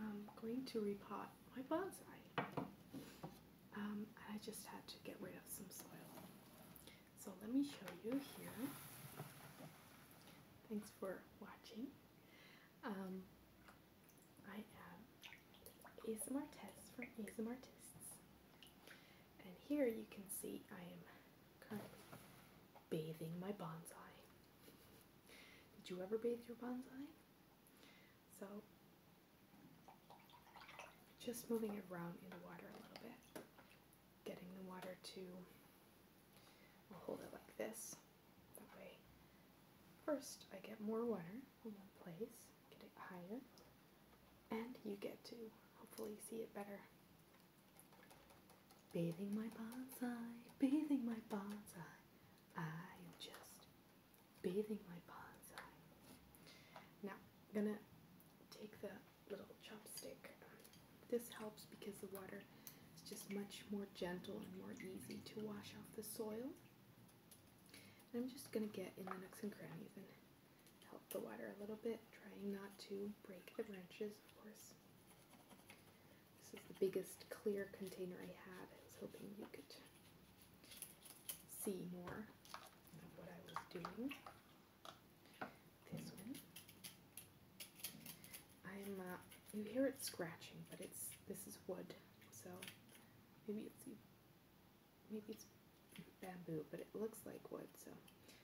I'm going to repot my bonsai. Um, I just had to get rid of some soil. So let me show you here. Thanks for watching. Um, I am ASMR Test from ASMR Artists. And here you can see I am bathing my bonsai. Did you ever bathe your bonsai? So just moving it around in the water a little bit, getting the water to, hold it like this, that way. First, I get more water in one place, get it higher, and you get to hopefully see it better. Bathing my bonsai, bathing my bonsai. I am just bathing my bonsai. Now, I'm gonna take the little chopstick. This helps because the water is just much more gentle and more easy to wash off the soil. I'm just gonna get in the nooks and crannies and help the water a little bit, trying not to break the branches, of course. This is the biggest clear container I had. I was hoping you could see more of what I was doing. This one. I'm, uh, you hear it scratching, but it's, this is wood, so maybe it's, maybe it's bamboo, but it looks like wood, so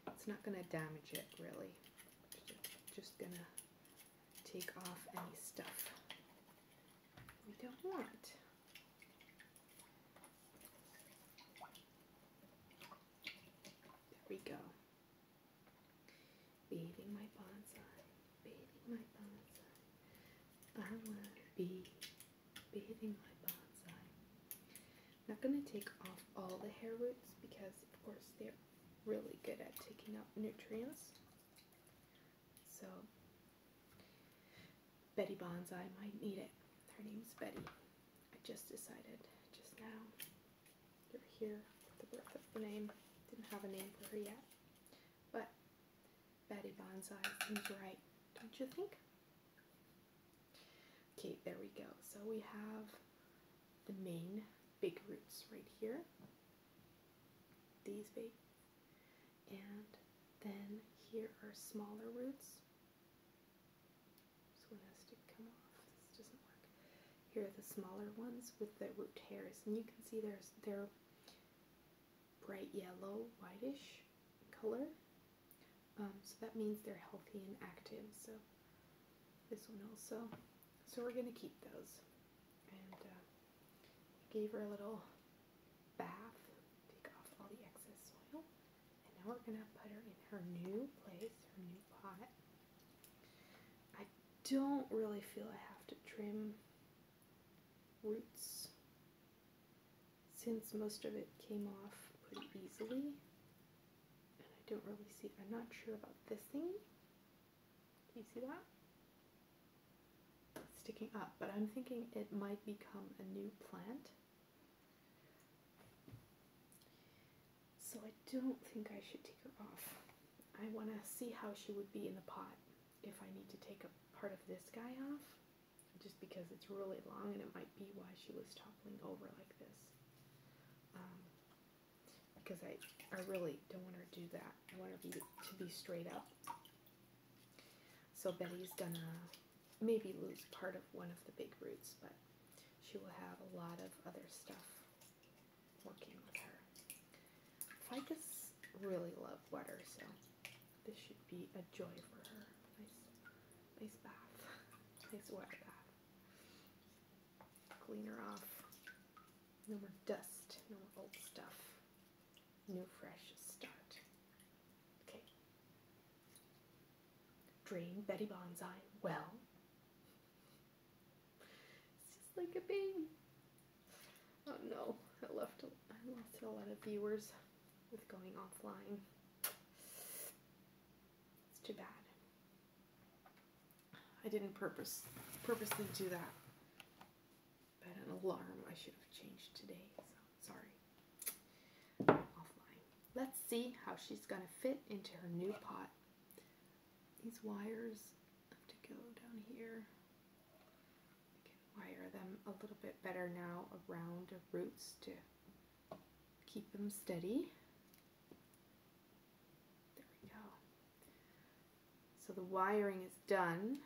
it's not going to damage it, really. just gonna take off any stuff we don't want. There we go. Bathing my bonsai, bathing my bonsai. I want to be bathing my bonsai. I'm not going to take off all the hair roots because, of course, they're really good at taking up nutrients. So Betty Bonsai might need it. Her name's Betty. I just decided just now. You're here the birth of the name. Didn't have a name for her yet. But Betty Bonsai seems right, don't you think? Okay, there we go. So we have the main big roots right here. These big and then here are smaller roots. So one has to come off. This doesn't work. Here are the smaller ones with the root hairs. And you can see there's they're bright yellow, whitish color. Um, so that means they're healthy and active. So this one also. So we're going to keep those and uh, gave her a little bath, take off all the excess soil, and now we're gonna put her in her new place, her new pot. I don't really feel I have to trim roots since most of it came off pretty easily. And I don't really see, I'm not sure about this thing. Do you see that? sticking up, but I'm thinking it might become a new plant. So I don't think I should take her off. I want to see how she would be in the pot if I need to take a part of this guy off just because it's really long and it might be why she was toppling over like this. Um, because I, I really don't want her to do that. I want it to be straight up. So Betty's gonna maybe lose part of one of the big roots, but she will have a lot of other stuff working with her. I just really love water, so this should be a joy for her. Nice, nice bath, nice water bath. Clean her off. No more dust, no more old stuff. New fresh start. Okay. Dream Betty Bonsai well. It's like a baby. Oh no, I left. I lost a lot of viewers with going offline. It's too bad. I didn't purpose purposely do that but an alarm I should have changed today, so sorry. Offline. Let's see how she's going to fit into her new pot. These wires have to go down here. I can wire them a little bit better now around the roots to keep them steady. There we go. So the wiring is done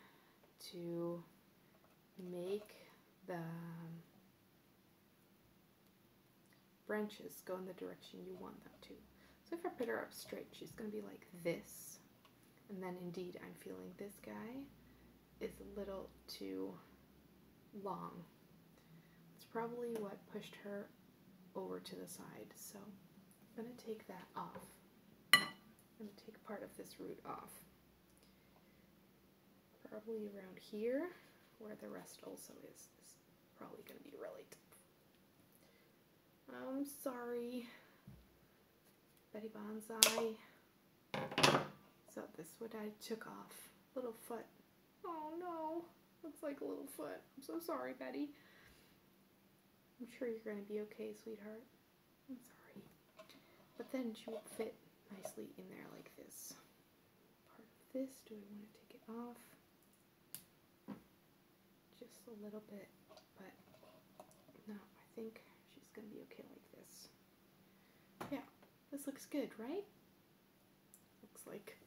to make the um, branches go in the direction you want them to. So if I put her up straight, she's going to be like this. And then indeed, I'm feeling this guy is a little too long. It's probably what pushed her over to the side. So I'm going to take that off. I'm going to take part of this root off. Probably around here, where the rest also is, is probably going to be really tough. I'm um, sorry, Betty Bonsai. So this what I took off. Little foot. Oh no, looks like a little foot. I'm so sorry, Betty. I'm sure you're going to be okay, sweetheart. I'm sorry. But then she will fit nicely in there like this. Part of this, do I want to take it off? Just a little bit, but no, I think she's going to be okay like this. Yeah, this looks good, right? Looks like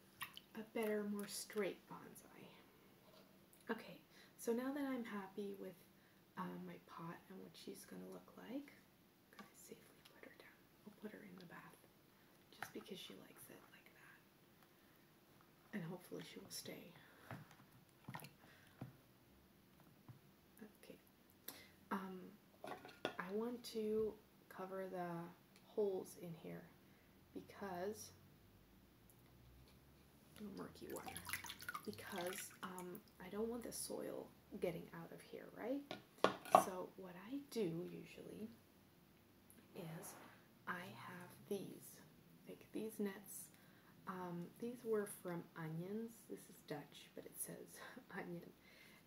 a better, more straight bonsai. Okay, so now that I'm happy with um, my pot and what she's going to look like. I'm going to safely put her down. I'll put her in the bath just because she likes it like that. And hopefully she will stay. Okay. Um, I want to cover the holes in here because murky water because um, I don't want the soil getting out of here, right? So what I do usually is I have these, like these nets. Um, these were from Onions. This is Dutch, but it says Onion.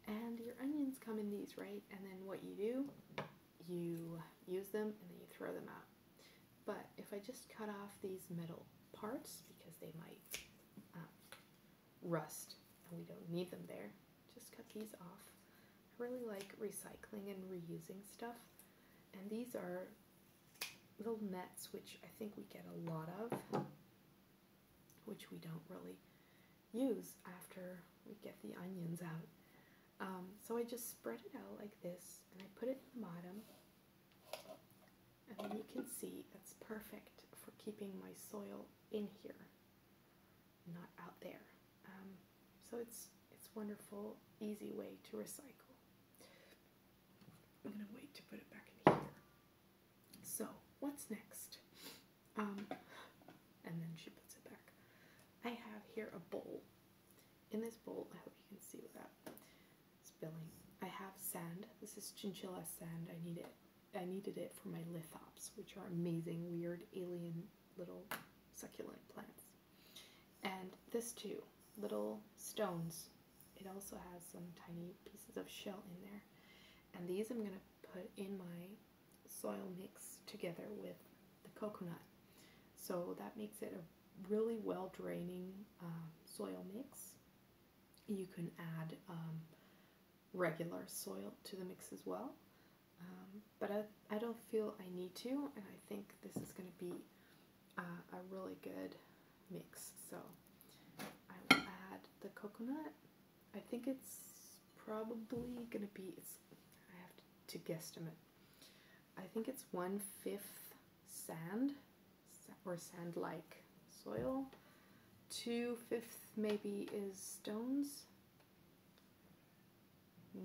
And your onions come in these, right? And then what you do, you use them and then you throw them out. But if I just cut off these metal parts because they might um, rust and we don't need them there, just cut these off. I really like recycling and reusing stuff. And these are little nets, which I think we get a lot of, which we don't really use after we get the onions out. Um, so I just spread it out like this, and I put it in the bottom, and you can see that's perfect for keeping my soil in here, not out there. Um, so it's it's wonderful, easy way to recycle. I'm gonna wait to put it back in here. So what's next? Um, and then she puts it back. I have here a bowl. In this bowl, I hope you can see that spilling. I have sand. This is chinchilla sand. I need it. I needed it for my lithops, which are amazing, weird, alien little succulent plants. And this too, little stones. It also has some tiny pieces of shell in there. And these I'm going to put in my soil mix together with the coconut. So that makes it a really well draining um, soil mix. You can add um, regular soil to the mix as well. Um, but I, I don't feel I need to, and I think this is going to be uh, a really good mix. So I will add the coconut. I think it's probably going to be, it's, I have to, to guesstimate. I think it's one-fifth sand or sand-like soil. Two-fifth maybe is stones.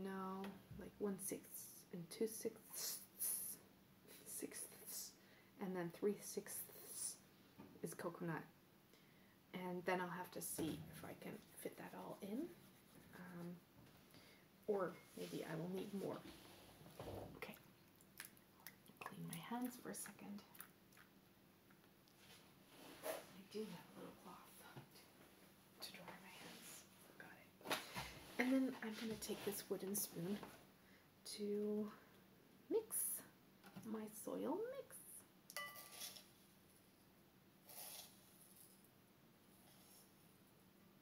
No, like one-sixth and two-sixths, sixths, and then three-sixths is coconut. And then I'll have to see if I can fit that all in. Um, or maybe I will need more. Okay. Clean my hands for a second. I do have a little cloth to dry my hands. Got it. And then I'm going to take this wooden spoon to mix my soil mix.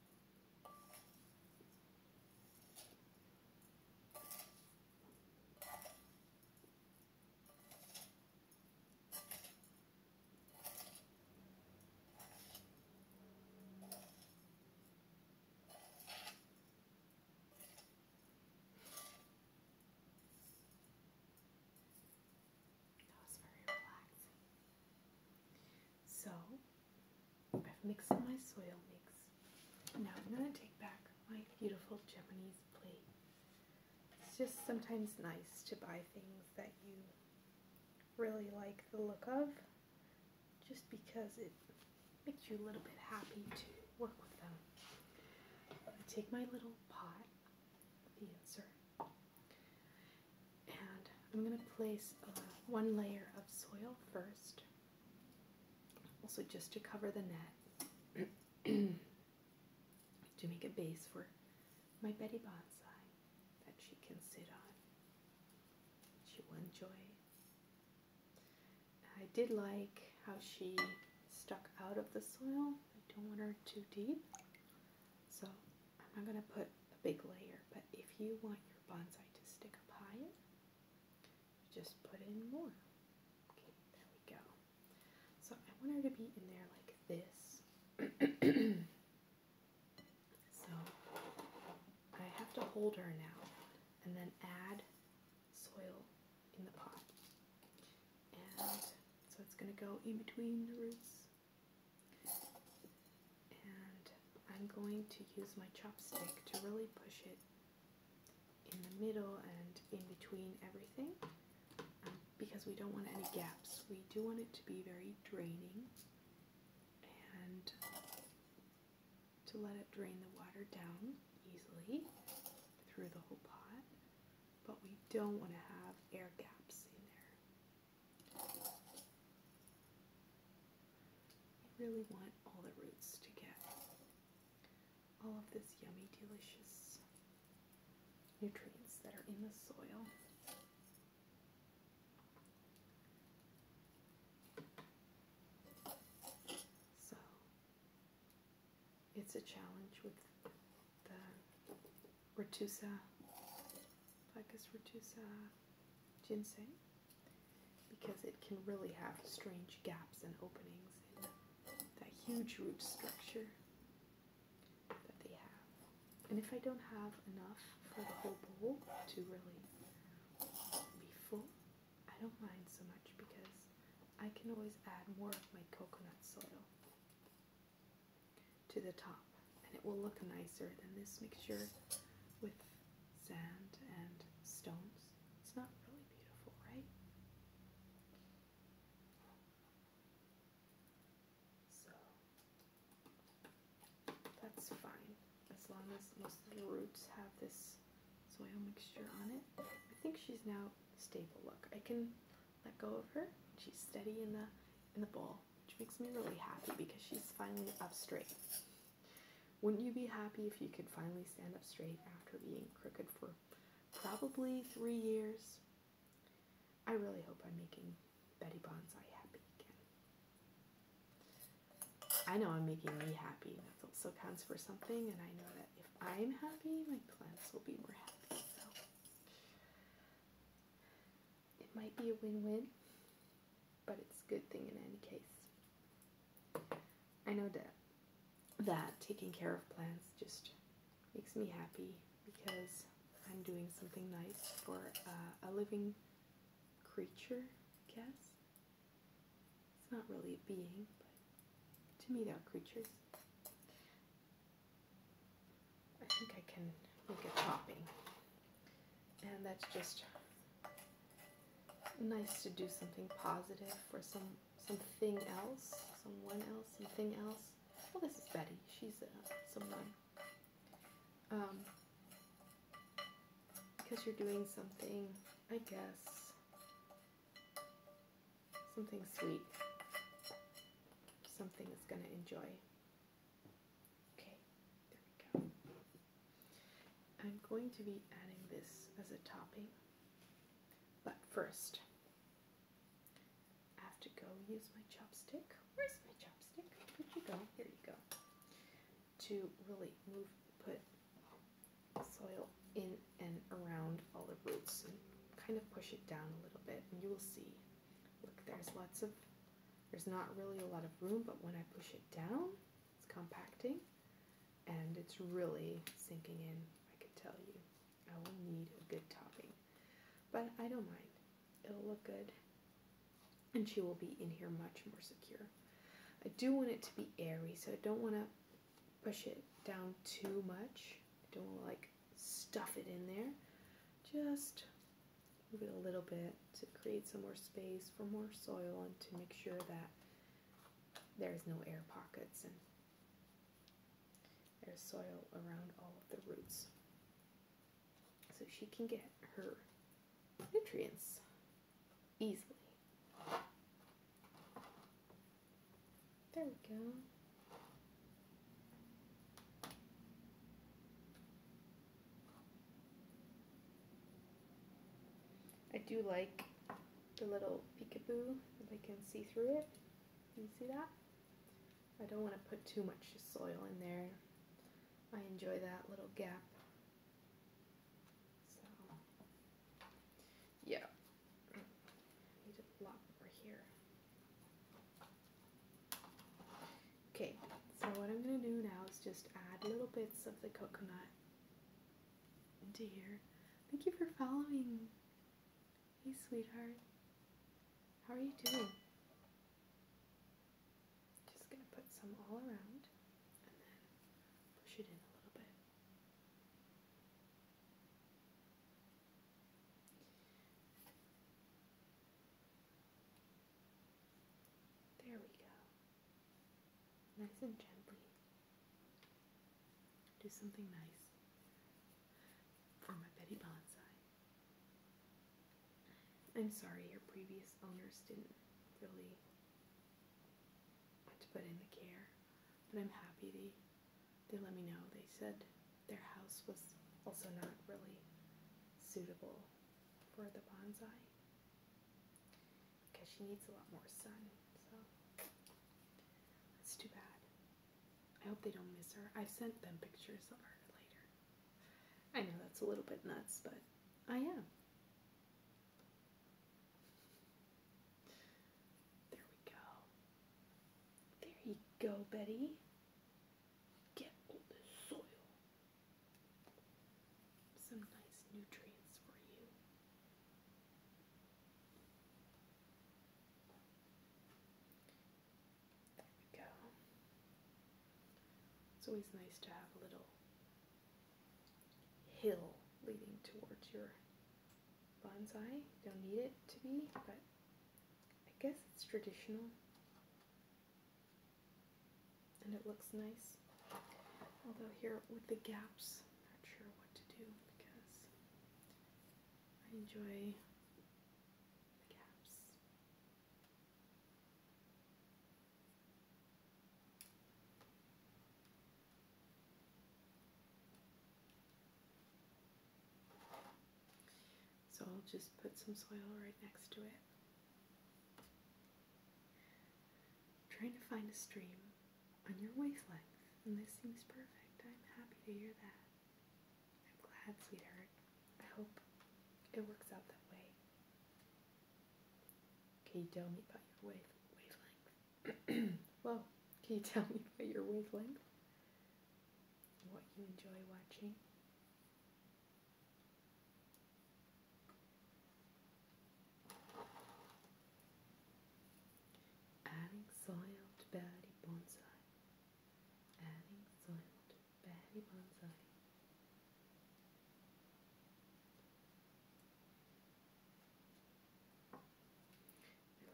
That was very relaxing. So I've mixed my soil mix. Now I'm going to take back my beautiful Japanese plate. It's just sometimes nice to buy things that you really like the look of just because it makes you a little bit happy to work with them. I take my little pot, the insert, and I'm going to place uh, one layer of soil first also just to cover the net to make a base for my Betty Bonsai that she can sit on. She will enjoy it. I did like how she stuck out of the soil. I don't want her too deep. So I'm not going to put a big layer, but if you want your bonsai to stick up higher, just put in more. Okay, there we go. So I want her to be in there like this. so I have to hold her now and then add soil in the pot. And so it's going to go in between the roots. And I'm going to use my chopstick to really push it in the middle and in between everything um, because we don't want any gaps. We do want it to be very draining and to let it drain the water down easily through the whole pot, but we don't want to have air gaps in there. I really want all the roots to get all of this yummy, delicious nutrients that are in the soil. So it's a challenge with the Retusa, Ficus Retusa ginseng because it can really have strange gaps and openings in that huge root structure that they have. And if I don't have enough for the whole bowl to really be full, I don't mind so much because I can always add more of my coconut soil to the top and it will look nicer than this mixture with sand and stones. It's not really beautiful, right? So that's fine as long as most of the roots have this soil mixture on it. I think she's now stable. Look, I can let go of her. She's steady in the in the bowl, which makes me really happy because she's finally up straight. Wouldn't you be happy if you could finally stand up straight after being crooked for probably three years? I really hope I'm making Betty Bonsai happy again. I know I'm making me happy. That also counts for something, and I know that if I'm happy, my plants will be more happy. So it might be a win-win but it's a good thing in any case. I know that that taking care of plants just makes me happy because I'm doing something nice for uh, a living creature, I guess. It's not really a being, but to me they're creatures. I think I can make it popping, And that's just nice to do something positive for some something else, someone else, something else. Well, this is Betty. She's uh, someone. Um, because you're doing something, I guess, something sweet, something that's going to enjoy. Okay, there we go. I'm going to be adding this as a topping, but first I have to go use my chopstick. Where's my chopstick? Where'd you go? Here you go. To really move, put soil in and around all the roots and kind of push it down a little bit, and you will see. Look, there's lots of, there's not really a lot of room, but when I push it down, it's compacting and it's really sinking in, I can tell you. I will need a good topping. But I don't mind. It'll look good and she will be in here much more secure. I do want it to be airy, so I don't want to push it down too much. I don't want like stuff it in there. Just move it a little bit to create some more space for more soil and to make sure that there's no air pockets and there's soil around all of the roots. So she can get her nutrients easily. There we go. I do like the little peekaboo, if I can see through it. You see that? I don't want to put too much soil in there. I enjoy that little gap. So, yeah. Need a lot over here. Okay, so what I'm going to do now is just add little bits of the coconut Dear, Thank you for following. Hey, sweetheart. How are you doing? Just gonna put some all around and then push it in a little bit. There we go nice and gently. Do something nice for my Betty Bonsai. I'm sorry your previous owners didn't really put in the care, but I'm happy they they let me know. They said their house was also not really suitable for the bonsai because she needs a lot more sun. So that's too bad. I hope they don't miss her. i sent them pictures of her later. I know that's a little bit nuts, but I am. There we go. There you go, Betty. Get all the soil. Some nice nutrients for you. There we go. It's always nice to have a little hill leading towards your bonsai. You don't need it to be, but I guess it's traditional. And it looks nice. Although here with the gaps, not sure what to do because I enjoy the caps. So I'll just put some soil right next to it. Trying to find a stream on your wavelength, and this seems perfect. I'm happy to hear that. I'm glad, sweetheart. I hope it works out that way. Can you tell me about your wave wavelength? well, can you tell me about your wavelength? What you enjoy watching? Adding soil to Batty Bonsai. Adding soil to Batty Bonsai.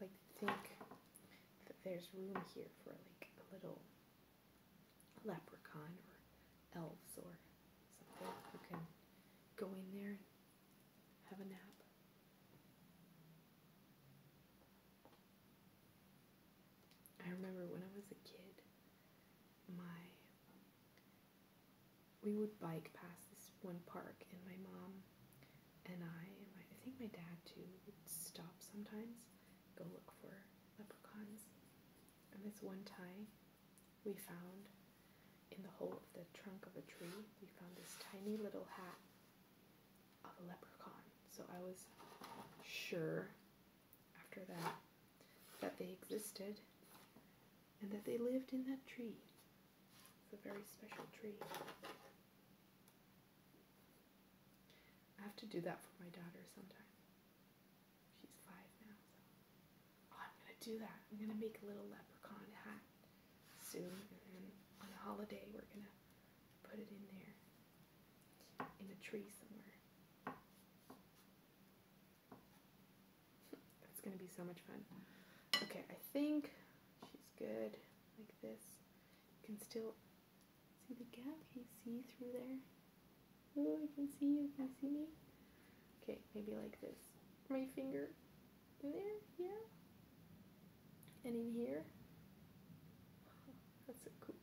I like to think that there's room here for like a little leprechaun or elves or something who can go in there have a nap. I remember when I was a kid, my we would bike past this one park, and my mom and I, I think my dad too, would stop sometimes, go look for leprechauns. And this one time, we found in the hole of the trunk of a tree, we found this tiny little hat of a leprechaun. So I was sure after that that they existed and that they lived in that tree. It's a very special tree. I have to do that for my daughter sometime. She's five now, so I'm gonna do that. I'm gonna make a little leprechaun hat soon, and on a holiday we're gonna put it in there in the tree somewhere. That's gonna be so much fun. Okay, I think she's good like this. You can still see the gap. Can see through there? Oh, you can see you. Can you see me? Okay, maybe like this. My finger there, yeah, and in here, that's so cool,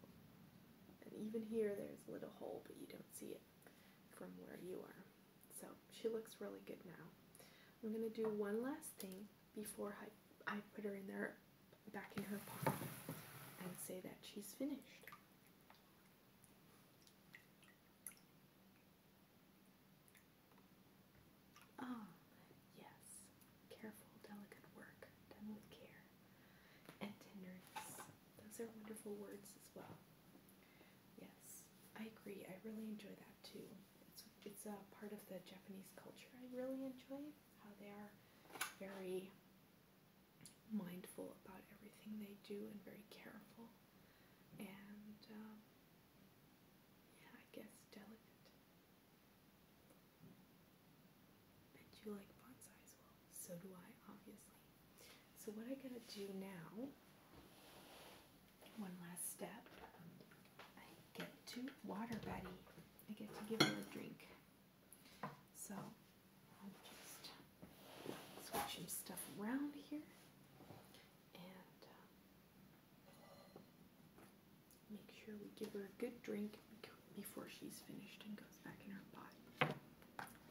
and even here there's a little hole, but you don't see it from where you are, so she looks really good now. I'm going to do one last thing before I, I put her in there, back in her pot, and say that she's finished. Ah, yes. Careful, delicate work done with care and tenderness. Those are wonderful words as well. Yes, I agree. I really enjoy that too. It's a part of the Japanese culture. I really enjoy how they are very mindful about everything they do and very careful. And um, yeah, I guess delicate. And you like bonsai as well. So do I, obviously. So what I gotta do now, one last step, I get to water Betty. I get to give her a drink. So I'll just switch some stuff around here. And uh, Make sure we give her a good drink before she's finished and goes back in her pot.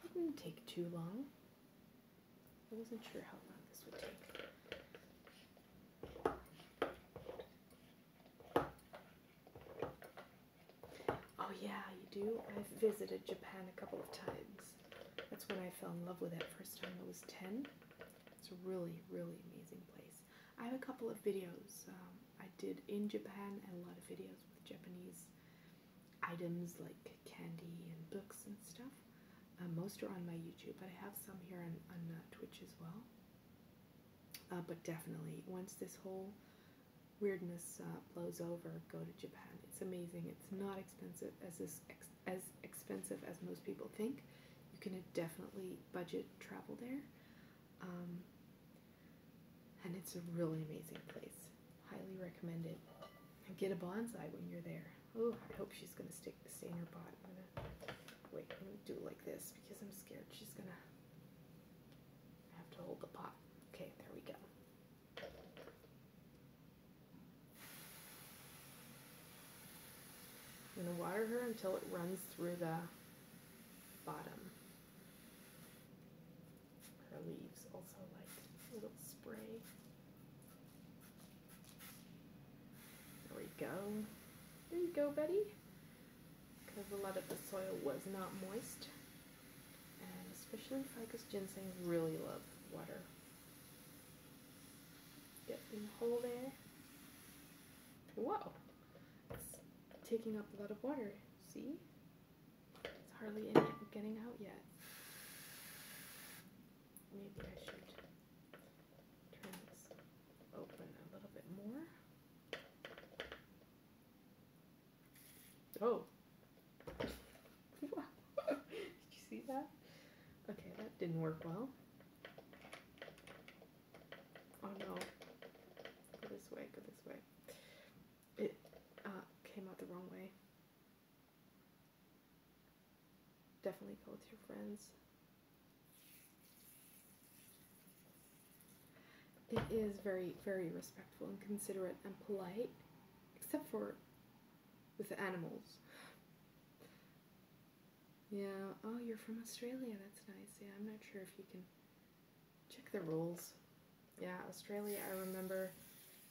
It didn't take too long. I wasn't sure how long this would take. Oh yeah, you do? I've visited Japan a couple of times. That's when I fell in love with it first time. I was 10. It's a really, really amazing place. I have a couple of videos um, I did in Japan and a lot of videos with Japanese items like candy and books and stuff. Uh, most are on my YouTube, but I have some here on, uh, Twitch as well. Uh, but definitely, once this whole weirdness blows over, go to Japan. It's amazing. It's not expensive as this as expensive as most people think. You can definitely budget travel there. Um, and it's a really amazing place. Highly recommend it. get a bonsai when you're there. Oh, I hope she's gonna stick the stay in her pot. wait. I'm gonna do it like this because I'm scared she's gonna have to hold the pot. Okay, there we go. I'm going to water her until it runs through the bottom. Her leaves also like a little spray. There we go. There you go, Betty. Because a lot of the soil was not moist. And especially ficus ginseng really love water. Yep, in the hole there. Whoa! It's taking up a lot of water. See? It's hardly in it getting out yet. Maybe I should turn this open a little bit more. Oh! Did you see that? Okay, that didn't work well. Oh no. Go this way, go this way. It uh, came out the wrong way. Definitely go with your friends. It is very, very respectful and considerate and polite, except for with animals. Yeah, oh, you're from Australia. That's nice. Yeah, I'm not sure if you can check the rules. Yeah, Australia, I remember,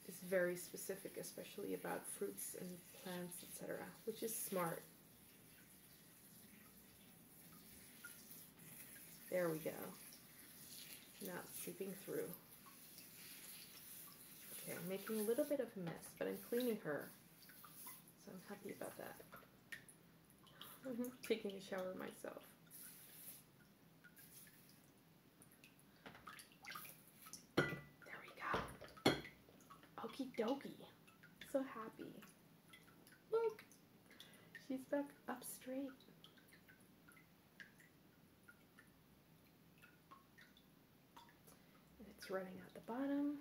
is very specific, especially about fruits and plants, etc., which is smart. There we go. Not seeping through. Okay, making a little bit of a mess, but I'm cleaning her. So I'm happy about that. I'm mm-hmm. taking a shower myself. There we go. Okie dokie. So happy. Look, she's back up straight. And it's running out the bottom,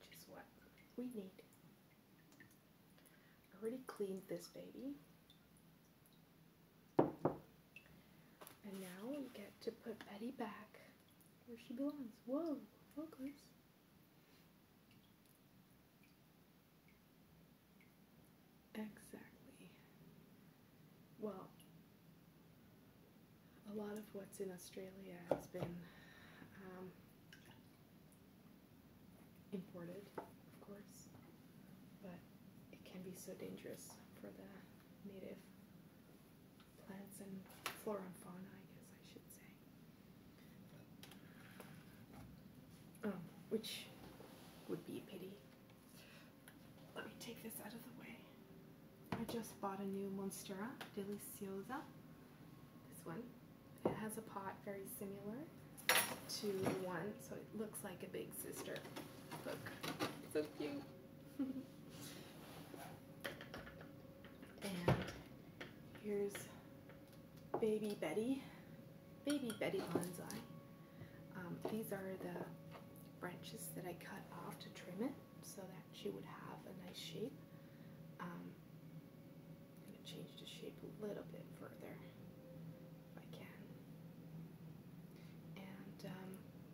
which is what we need. I already cleaned this baby. And now we get to put Betty back where she belongs. Whoa, focus. Exactly. Well, a lot of what's in Australia has been um, imported, of course, but it can be so dangerous for the native plants and flora and fauna, I guess I should say. Um, which would be a pity. Let me take this out of the way. I just bought a new Monstera Deliciosa. This one. It has a pot very similar to one, so it looks like a big sister. Look, so cute. and here's Baby Betty, Baby Betty Bonsai. Um, these are the branches that I cut off to trim it so that she would have a nice shape. Um, I'm going to change the shape a little bit further if I can. And um,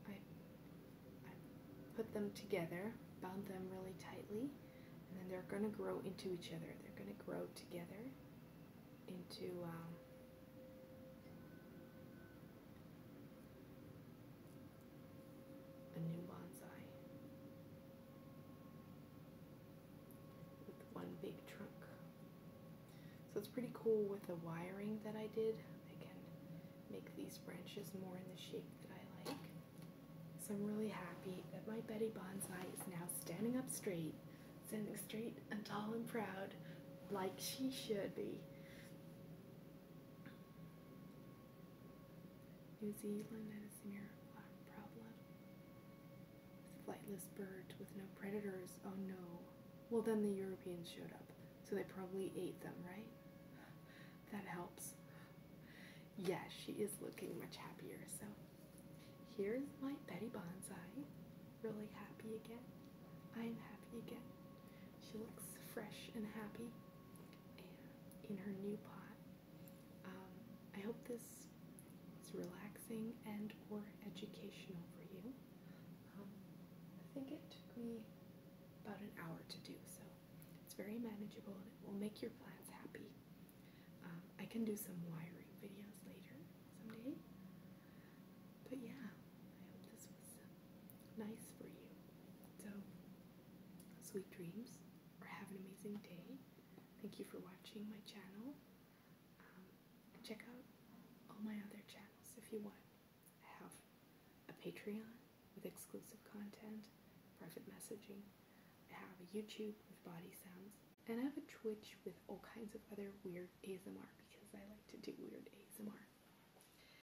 I, put them together, bound them really tightly, and then they're going to grow into each other. They're going to grow together into um, a new bonsai with one big trunk. So it's pretty cool with the wiring that I did. I can make these branches more in the shape that I like. So I'm really happy that my Betty Bonsai is now standing up straight, standing straight and tall and proud like she should be. New Zealand has a problem. Flightless birds with no predators. Oh no. Well, then the Europeans showed up, so they probably ate them, right? That helps. Yes, she is looking much happier. So here's my Betty Bonsai. Really happy again. I'm happy again. She looks fresh and happy in her new pot. Um, I hope this was relaxing and or educational for you. Um, I think it took me about an hour to do, so it's very manageable and it will make your plants happy. Um, I can do some wiring videos later someday. But yeah, I hope this was nice for you. So, sweet dreams, or have an amazing day. Thank you for watching my channel. Um, check out all my other channels if you want. I have a Patreon with exclusive content, private messaging. I have a YouTube with body sounds. And I have a Twitch with all kinds of other weird ASMR because I like to do weird ASMR.